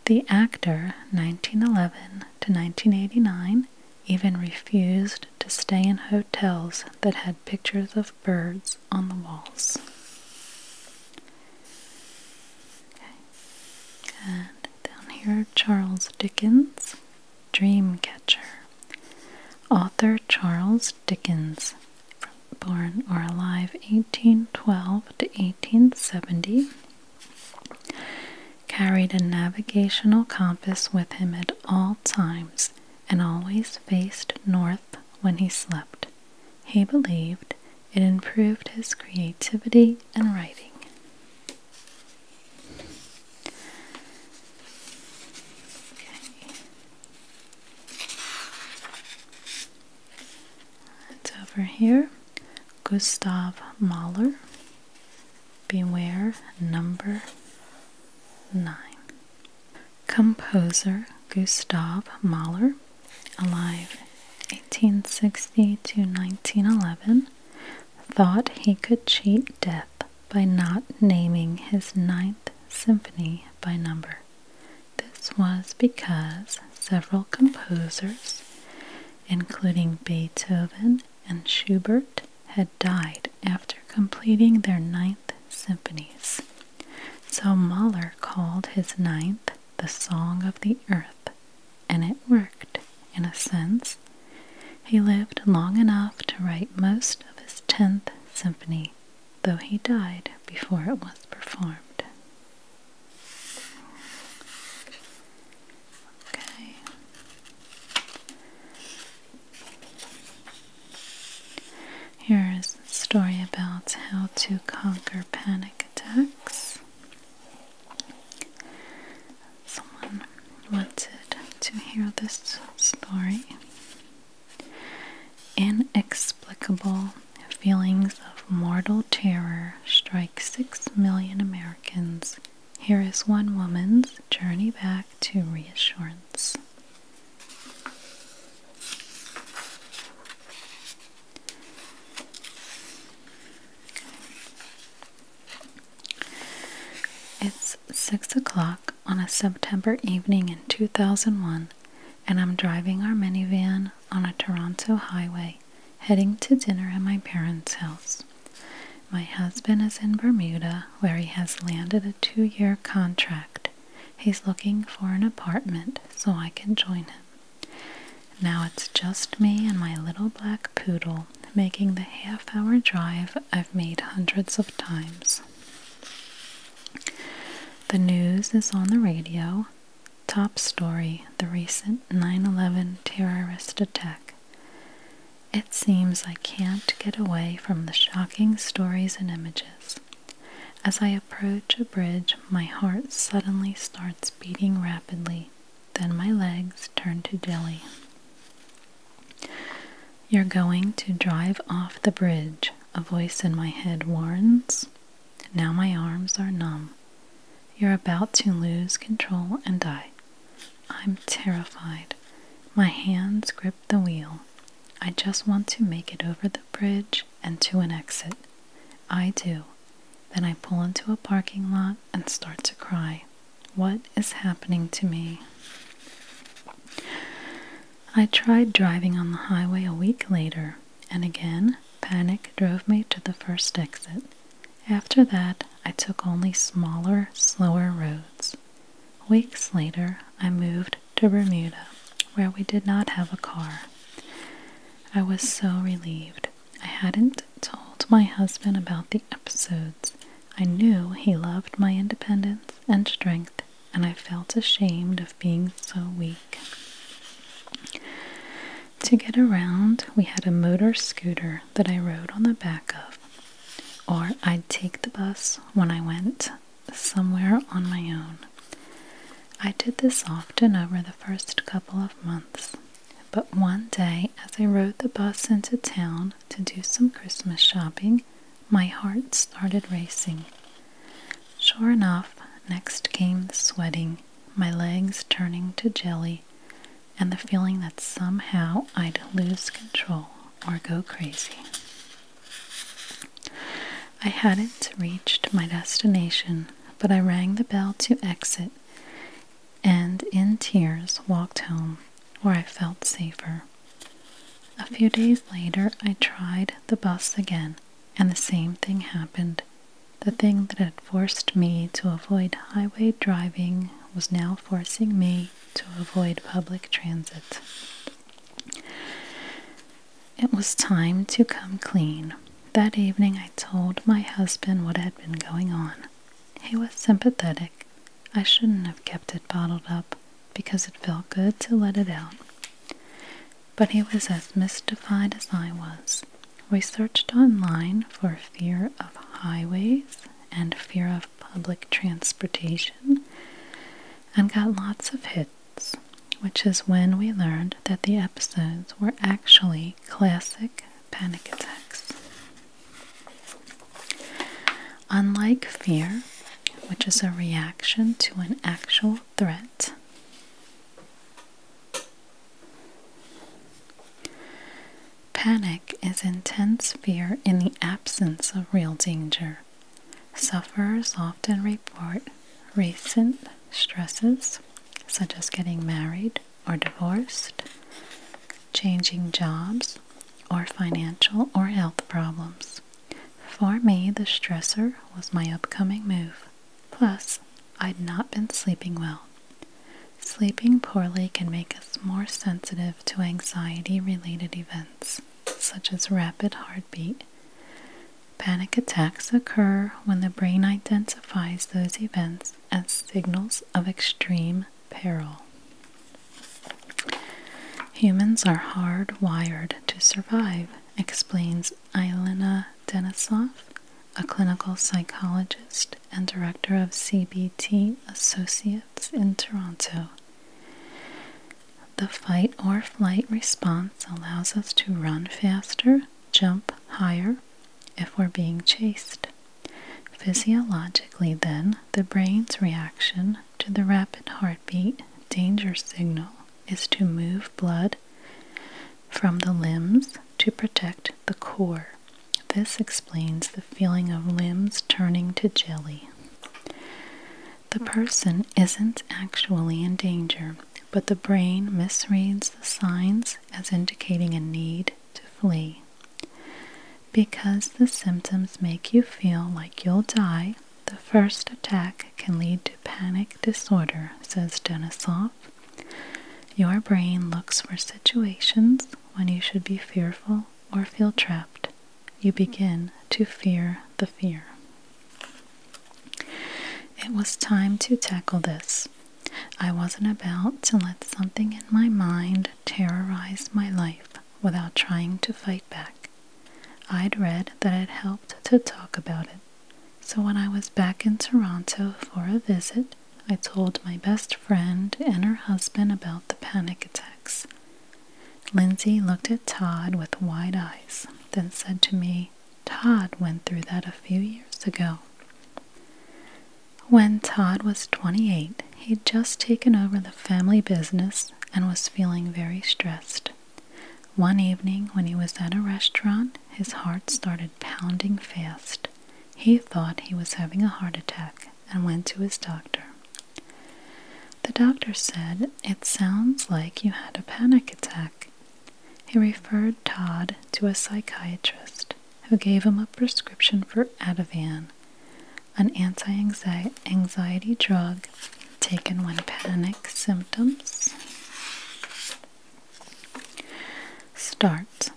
The actor, 1911 to 1989, even refused to stay in hotels that had pictures of birds on the walls. And down here, Charles Dickens. Dreamcatcher. Author Charles Dickens, born or alive 1812 to 1870, carried a navigational compass with him at all times and always faced north when he slept. He believed it improved his creativity and writing. It's over here. Gustav Mahler. Beware number nine. Composer Gustav Mahler, alive 1860 to 1911, thought he could cheat death by not naming his Ninth Symphony by number. This was because several composers, including Beethoven and Schubert, had died after completing their Ninth Symphonies. So Mahler called his Ninth the Song of the Earth, and it worked, in a sense. He lived long enough to write most of his Tenth Symphony though he died before it was performed. Okay. Here is a story about how to conquer panic attacks. Someone wanted to hear this story. Inexplicable feelings of mortal terror strike six million Americans. Here is one woman's journey back to reassurance. It's 6 o'clock on a September evening in 2001, and I'm driving our minivan on a Toronto highway heading to dinner at my parents' house. My husband is in Bermuda, where he has landed a two year contract. He's looking for an apartment so I can join him. Now it's just me and my little black poodle making the half hour drive I've made hundreds of times. The news is on the radio. Top story the recent 9 11 terrorist attack. It seems I can't get away from the shocking stories and images. As I approach a bridge, my heart suddenly starts beating rapidly, then my legs turn to jelly. You're going to drive off the bridge, a voice in my head warns. Now my arms are numb. You're about to lose control and die. I'm terrified. My hands grip the wheel. I just want to make it over the bridge and to an exit. I do. Then I pull into a parking lot and start to cry. What is happening to me? I tried driving on the highway a week later, and again panic drove me to the first exit. After that, I took only smaller, slower roads. Weeks later, I moved to Bermuda, where we did not have a car. I was so relieved. I hadn't told my husband about the episodes. I knew he loved my independence and strength and I felt ashamed of being so weak. To get around, we had a motor scooter that I rode on the back of, or I'd take the bus when I went somewhere on my own. I did this often over the first couple of months, but one day as I rode the bus into town to do some Christmas shopping, my heart started racing. Sure enough, next came the sweating, my legs turning to jelly, and the feeling that somehow I'd lose control or go crazy. I hadn't reached my destination, but I rang the bell to exit and in tears walked home where I felt safer. A few days later, I tried the bus again, and the same thing happened. The thing that had forced me to avoid highway driving was now forcing me to avoid public transit. It was time to come clean. That evening, I told my husband what had been going on. He was sympathetic. I shouldn't have kept it bottled up because it felt good to let it out. But he was as mystified as I was. We searched online for fear of highways and fear of public transportation and got lots of hits, which is when we learned that the episodes were actually classic panic attacks. Unlike fear, which is a reaction to an actual threat, panic is intense fear in the absence of real danger. Sufferers often report recent stresses, such as getting married or divorced, changing jobs, or financial or health problems. For me, the stressor was my upcoming move. Plus, I'd not been sleeping well. Sleeping poorly can make us more sensitive to anxiety related events, such as rapid heartbeat. Panic attacks occur when the brain identifies those events as signals of extreme peril. Humans are hardwired to survive, explains Eilina Denisov, a clinical psychologist and director of CBT Associates in Toronto. The fight or flight response allows us to run faster, jump higher, if we're being chased. Physiologically, then, the brain's reaction to the rapid heartbeat danger signal is to move blood from the limbs to protect the core. This explains the feeling of limbs turning to jelly. The person isn't actually in danger, but the brain misreads the signs as indicating a need to flee. Because the symptoms make you feel like you'll die, the first attack can lead to panic disorder, says Denisov. Your brain looks for situations when you should be fearful or feel trapped. You begin to fear the fear. It was time to tackle this. I wasn't about to let something in my mind terrorize my life without trying to fight back. I'd read that it helped to talk about it, so when I was back in Toronto for a visit, I told my best friend and her husband about the panic attacks. Lindsay looked at Todd with wide eyes, then said to me, Todd went through that a few years ago. When Todd was 28, he'd just taken over the family business and was feeling very stressed. One evening, when he was at a restaurant, his heart started pounding fast. He thought he was having a heart attack and went to his doctor. The doctor said, It sounds like you had a panic attack. He referred Todd to a psychiatrist who gave him a prescription for Ativan, an anti-anxiety drug taken when panic symptoms start.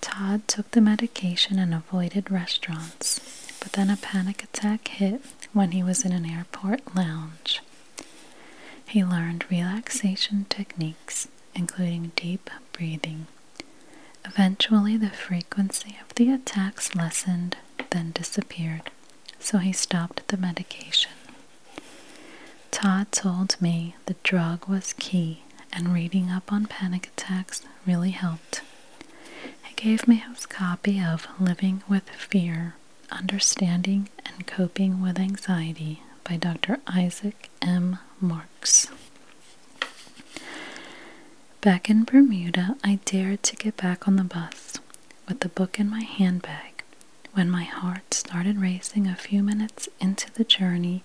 Todd took the medication and avoided restaurants, but then a panic attack hit when he was in an airport lounge. He learned relaxation techniques, including deep breathing. Eventually, the frequency of the attacks lessened, then disappeared so he stopped the medication. Todd told me the drug was key, and reading up on panic attacks really helped. He gave me his copy of Living with Fear Understanding and Coping with Anxiety by Dr. Isaac M. Marks. Back in Bermuda, I dared to get back on the bus with the book in my handbag, when my heart started racing a few minutes into the journey,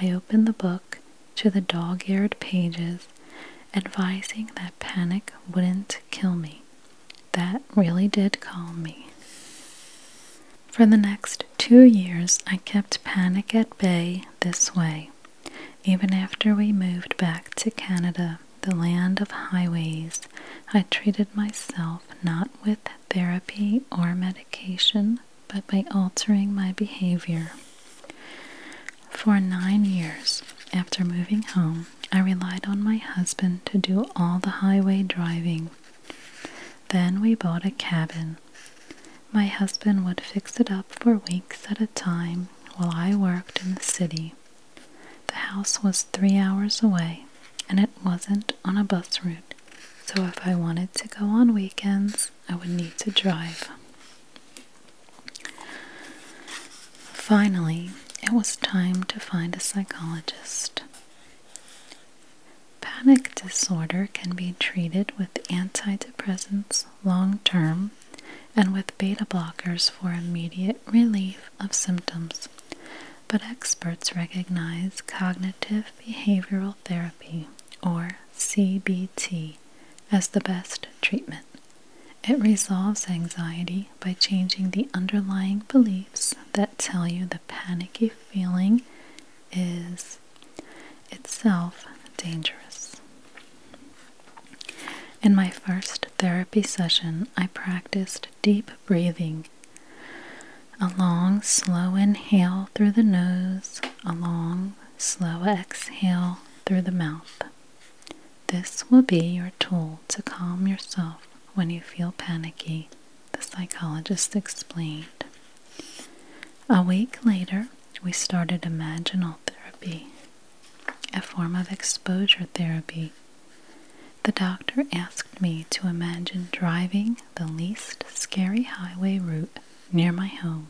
I opened the book to the dog eared pages, advising that panic wouldn't kill me. That really did calm me. For the next two years, I kept panic at bay this way, even after we moved back to Canada the land of highways, I treated myself not with therapy or medication, but by altering my behavior. For nine years after moving home, I relied on my husband to do all the highway driving. Then we bought a cabin. My husband would fix it up for weeks at a time while I worked in the city. The house was three hours away, and it wasn't on a bus route, so if I wanted to go on weekends, I would need to drive. Finally, it was time to find a psychologist. Panic disorder can be treated with antidepressants long term and with beta blockers for immediate relief of symptoms. But experts recognize cognitive behavioral therapy, or CBT, as the best treatment. It resolves anxiety by changing the underlying beliefs that tell you the panicky feeling is itself dangerous. In my first therapy session, I practiced deep breathing. A long, slow inhale through the nose, a long, slow exhale through the mouth. This will be your tool to calm yourself when you feel panicky, the psychologist explained. A week later, we started imaginal therapy a form of exposure therapy. The doctor asked me to imagine driving the least scary highway route near my home,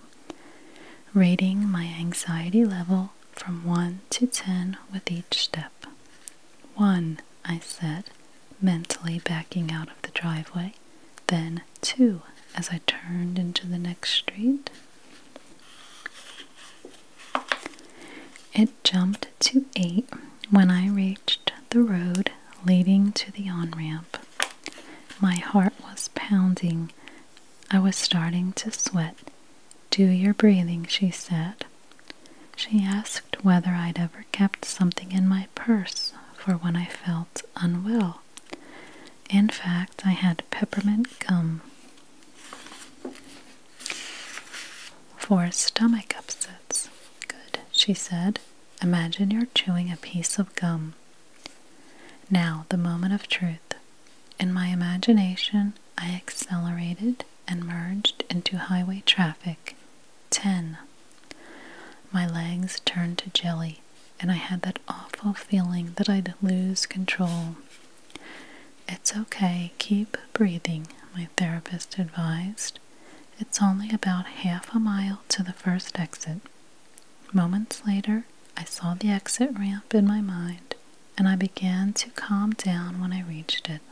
rating my anxiety level from 1 to 10 with each step. 1, I said, mentally backing out of the driveway, then 2 as I turned into the next street. It jumped to 8 when I reached the road leading to the on ramp. My heart was pounding. I was starting to sweat. Do your breathing, she said. She asked whether I'd ever kept something in my purse for when I felt unwell. In fact, I had peppermint gum. For stomach upsets. Good, she said. Imagine you're chewing a piece of gum. Now, the moment of truth. In my imagination, I accelerated and merged into highway traffic. Ten. My legs turned to jelly, and I had that awful feeling that I'd lose control. It's okay, keep breathing, my therapist advised. It's only about half a mile to the first exit. Moments later, I saw the exit ramp in my mind, and I began to calm down when I reached it.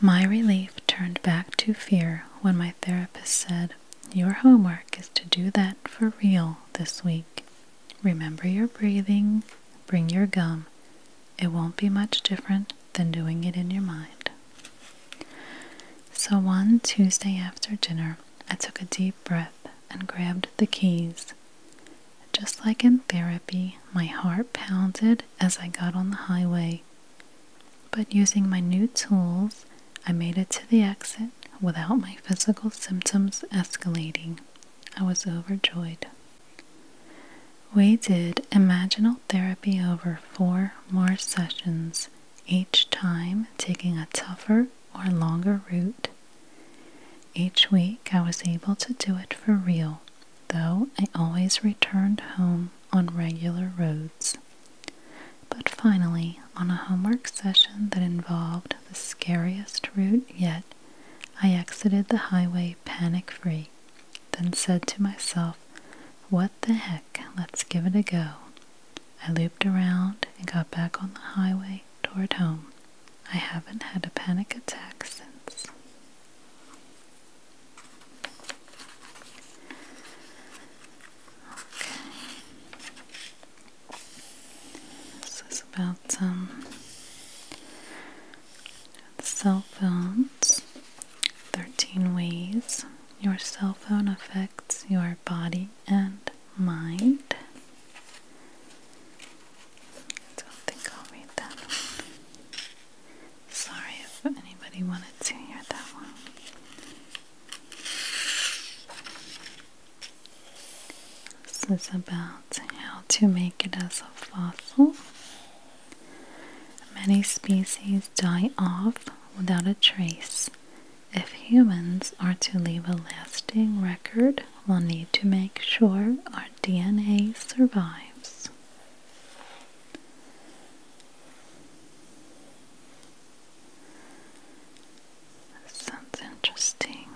My relief turned back to fear when my therapist said, Your homework is to do that for real this week. Remember your breathing, bring your gum. It won't be much different than doing it in your mind. So, one Tuesday after dinner, I took a deep breath and grabbed the keys. Just like in therapy, my heart pounded as I got on the highway. But using my new tools, I made it to the exit without my physical symptoms escalating. I was overjoyed. We did imaginal therapy over four more sessions, each time taking a tougher or longer route. Each week I was able to do it for real, though I always returned home on regular roads. But finally, on a homework session that involved the scariest route yet, I exited the highway panic free, then said to myself, What the heck, let's give it a go. I looped around and got back on the highway toward home. I haven't had a panic attack since. Okay. This is about cell phones. 13 ways your cell phone affects your body and mind. I don't think I'll read that Sorry if anybody wanted to hear that one. This is about how to make it as a fossil. Many species die off without a trace. If humans are to leave a lasting record, we'll need to make sure our DNA survives. sounds interesting.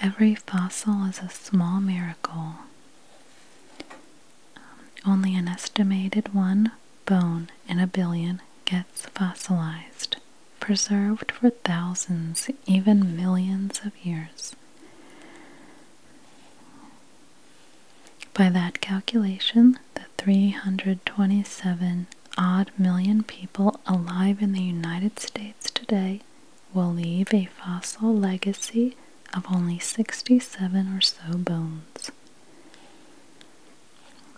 Every fossil is a small miracle. Um, only an estimated one bone in a billion gets fossilized, preserved for thousands, even millions of years. By that calculation, the 327 odd million people alive in the United States today will leave a fossil legacy of only 67 or so bones.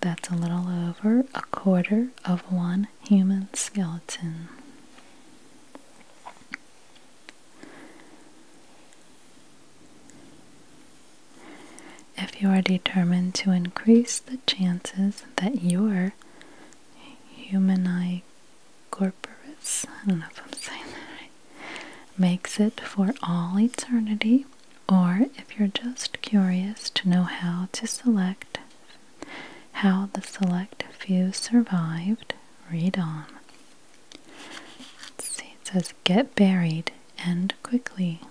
That's a little over a quarter of one human skeleton. If you are determined to increase the chances that your human eye corporis, I don't know if I'm saying that right, makes it for all eternity, or if you're just curious to know how to select, how the select few survived, read on. see, it says get buried and quickly.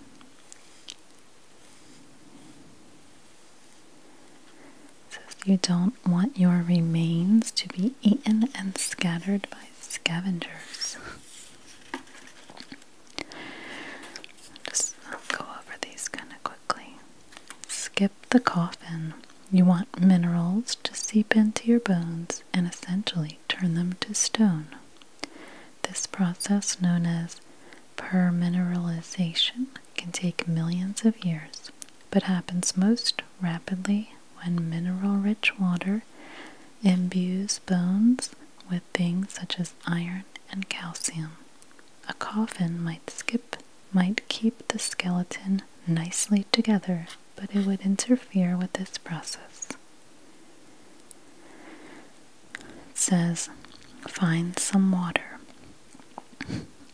It says you don't want your remains to be eaten and scattered by scavengers. Just go over these kind of quickly. Skip the coffin. You want minerals to seep into your bones and essentially turn them to stone. This process, known as Permineralization can take millions of years, but happens most rapidly when mineral rich water imbues bones with things such as iron and calcium. A coffin might skip might keep the skeleton nicely together, but it would interfere with this process. It says, Find some water.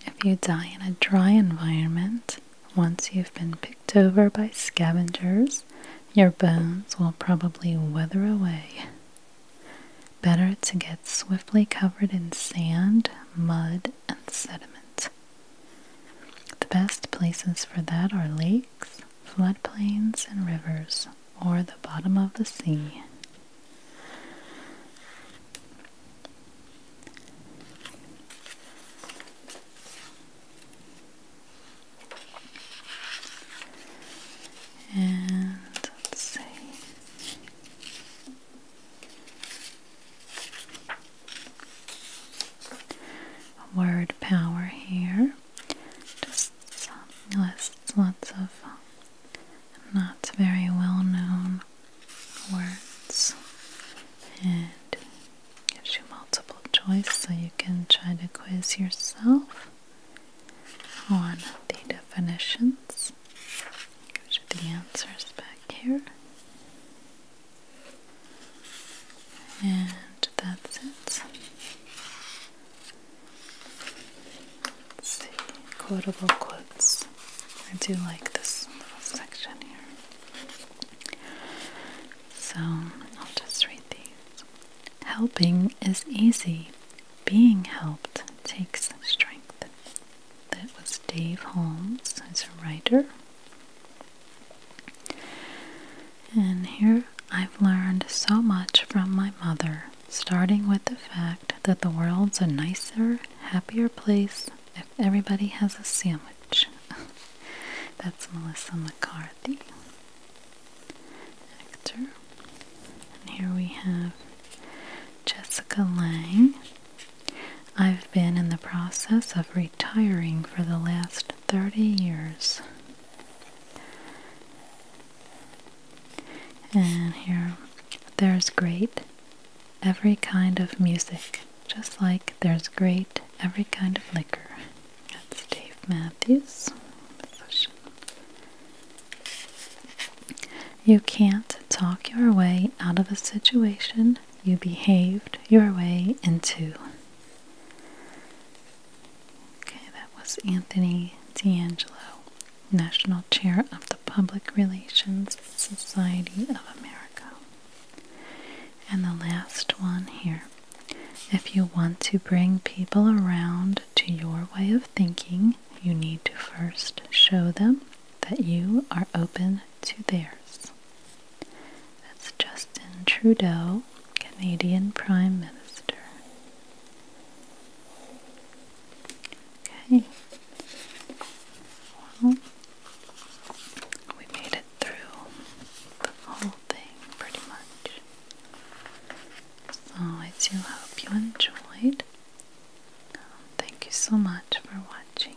If you die in a dry environment, once you've been picked over by scavengers, your bones will probably weather away. Better to get swiftly covered in sand, mud, and sediment. The best places for that are lakes, floodplains, and rivers or the bottom of the sea. And let's see. word power here. Just lists lots of not very well known words, and gives you multiple choice so you can try to quiz yourself on the definitions. Gives you the answers back here. And that's it see, quotable quotes. I do like this little section here. So I'll just read these. Helping is easy, being helped takes strength. That was Dave Holmes, as a writer. And here I've learned so much from my mother starting with the fact that the world's a nicer, happier place if everybody has a sandwich. That's Melissa McCarthy, actor. And here we have Jessica Lang. I've been in the process of retiring for the last 30 years. And here, there's great every kind of music, just like there's great every kind of liquor. That's Dave Matthews. You can't talk your way out of a situation you behaved your way into. Okay, that was Anthony D'Angelo. National Chair of the Public Relations Society of America. And the last one here. If you want to bring people around to your way of thinking, you need to first show them that you are open to theirs. That's Justin Trudeau, Canadian Prime Minister. Okay. Well, we made it through the whole thing pretty much. So I do hope you enjoyed. Um, thank you so much for watching.